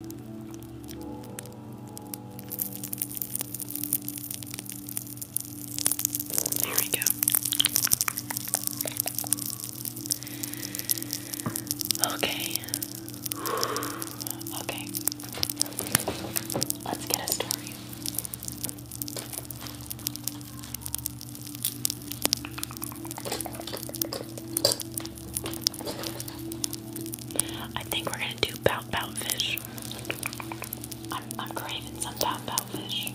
There we go. Okay. Okay. Let's get a story. I think we're gonna do pout pout fish. I'm, craving some pout pout fish.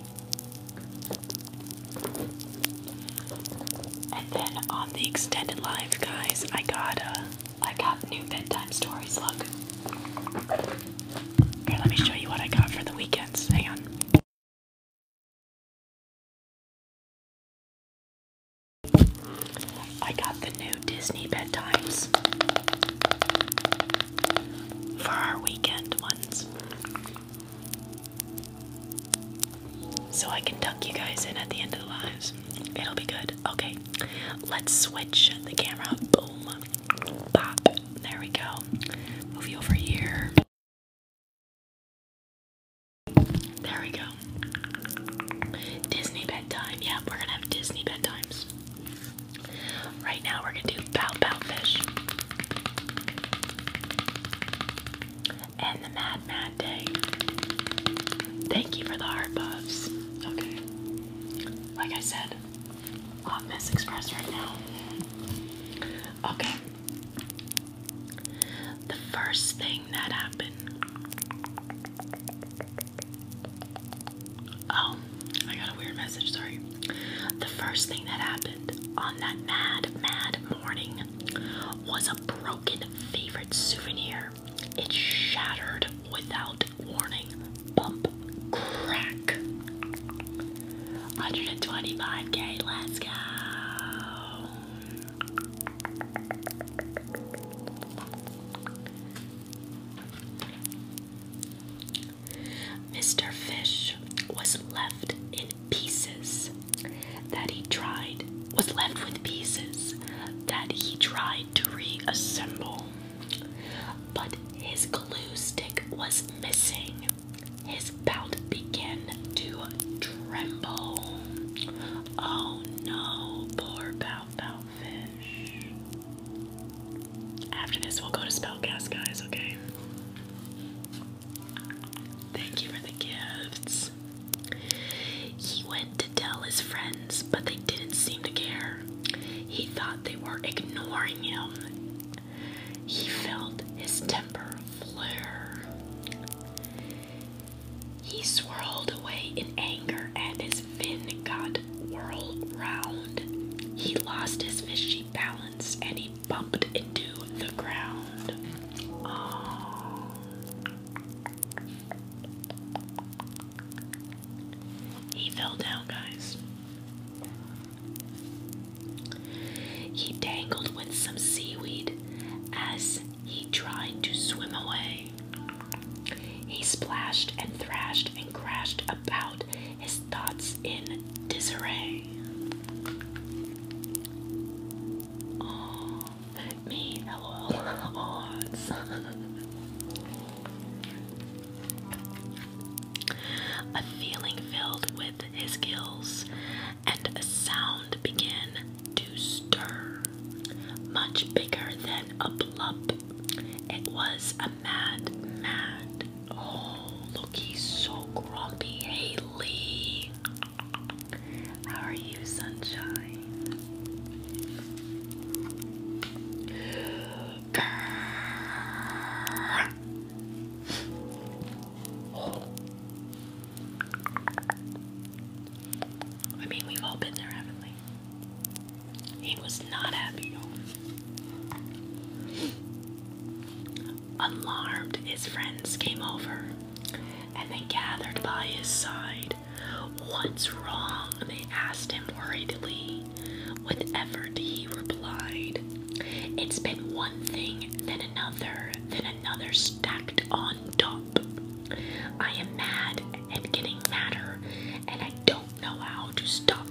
And then on the extended live, guys, I got uh, I got new bedtime stories. Look, here, let me show you what I got for the weekends. Hang on. I got the new Disney bedtimes for our weekend ones. So I can tuck you guys in at the end of the lives. It'll be good. Okay, let's switch the camera. Boom. Pop. There we go. Move you over here. There we go. Disney bedtime. Yeah, we're gonna have Disney bedtimes. Right now, we're gonna do Bow Bow Fish. And the Mad Mad Day. Thank you for the heart buffs. Okay. Like I said, hot mess express right now. Okay. The first thing that happened. Oh, I got a weird message, sorry. The first thing that happened on that mad, mad morning was a broken favorite souvenir. It shattered without warning. Bump, crack. 125k, let's go. Mr. Fish was left in pieces that he tried, was left with pieces that he tried to reassemble. But his glue stick was missing. His belt began to tremble. Oh no, poor Pow After this, we'll go to Spellcast, guys, okay? Thank you for the gifts. He went to tell his friends, but they didn't seem to care. He thought they were ignoring him. He felt his temper flare. He swirled away in anger, and his fin got whirled round. He lost his fishy balance, and he bumped into the ground. Oh. He fell down, guys. He dangled with some seaweed as he tried to swim away. He splashed and thrashed and crashed about, his thoughts in disarray. Oh, me, odds. A feeling filled with his gills, and a sound began to stir, much bigger than a blub. It was a mad, mad. Oh, look, he's so grumpy, Haley. How are you, sunshine? I mean, we've all been there, have He was not happy, you his friends came over and they gathered by his side. What's wrong? They asked him worriedly. With effort, he replied, It's been one thing, then another, then another stacked on top. I am mad and getting madder, and I don't know how to stop.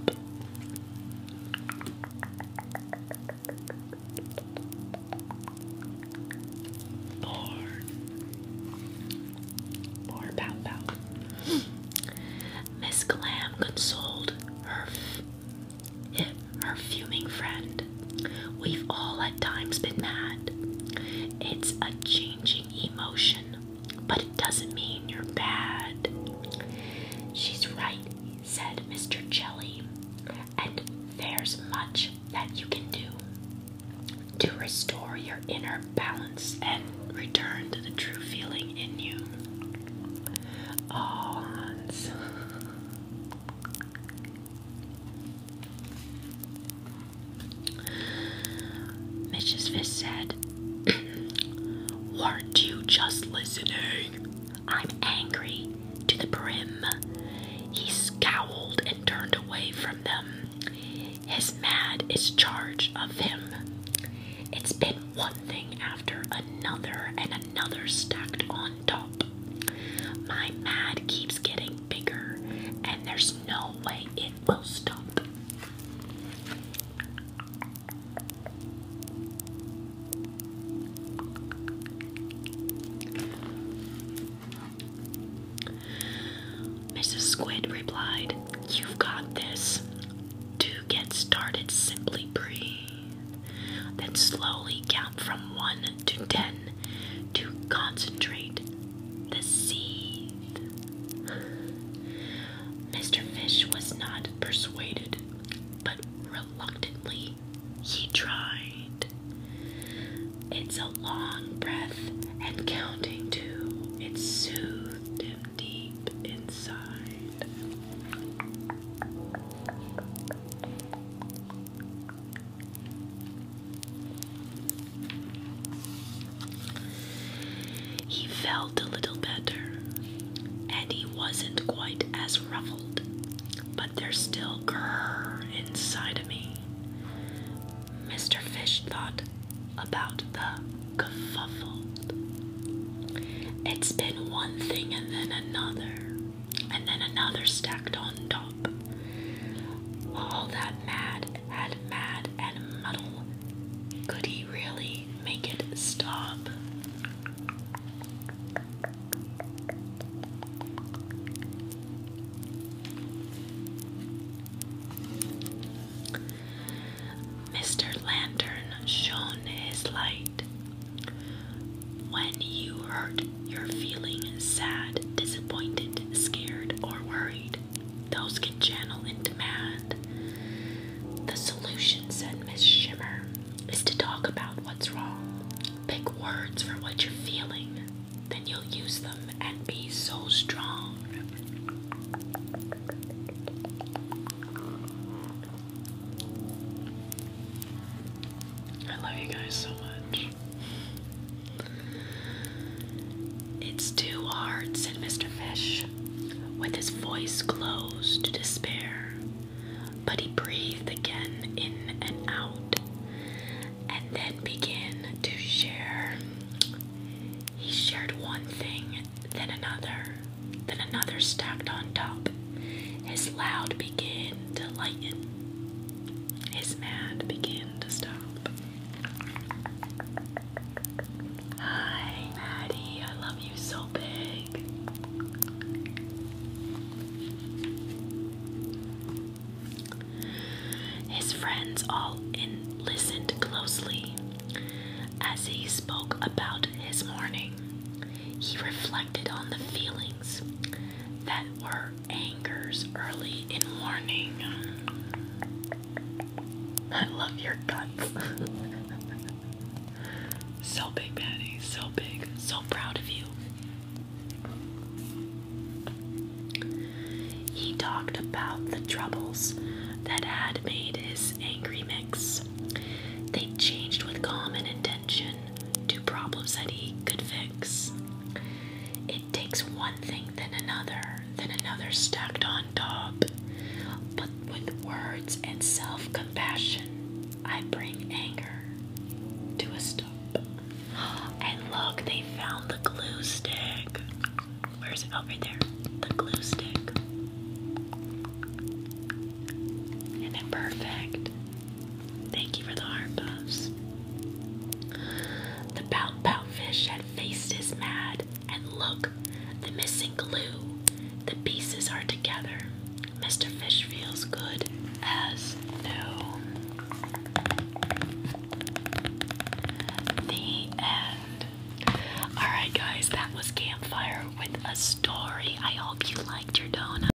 Miss Glam consoled her, her fuming friend We've all at times been mad. It's a changing emotion, but it doesn't mean you're bad. She's right, said Mr. Jelly, and there's much that you can do to restore your inner balance and return to the true feeling in you. Oh, Mrs. Fist said, Weren't you just listening? I'm angry to the brim. He scowled and turned away from them. His mad is charged of him. It's been one thing after another and another stacked on my mad keeps getting bigger, and there's no way it will stop. Mrs. Squid replied, You've got this. To get started, simply breathe. Then slowly count from 1 to 10 to concentrate the sea. Mr. Fish was not persuaded, but reluctantly he tried. It's a long breath and counting too. It soothed him deep inside. He felt a little better, and he wasn't quite as ruffled, but there's still grrr inside of me. Mr. Fish thought about the kerfuffle. It's been one thing and then another and then another stacked on top. All that mad and mad and muddle. Could he really make it stop? Mr. Lantern shone his light. When you hurt you're feeling sad, disappointed, scared, or worried. Those can channel into mad. The solution, said Miss Shimmer, is to talk about what's wrong. Pick words for what you're feeling, then you'll use them and be so strong. I love you guys so much. It's too hard, said Mr. Fish, with his voice closed to despair. But he breathed again in and out, and then began to share. He shared one thing, then another, then another stacked on top. His loud began to lighten. His mad began to stop. Hi, Maddie, I love you so big. His friends all in listened closely as he spoke about his morning. He reflected on the feelings that were angers early in morning. I love your guts. so big, Patty. So big. So proud of you. He talked about the troubles that had made his angry mix. They changed with calm intention, to problems that he could fix. It takes one thing, then another, then another stacked on top. But with words and self compassion, I bring anger to a stop. And look, they found the glue stick. Where is it? Oh, right there. The glue stick. And then Thank you for the heart puffs. The bow, bow fish had faced his mad, and look, the missing glue. The pieces are together. Mr. Fish feels good as new. The end. Alright, guys, that was Campfire with a story. I hope you liked your donut.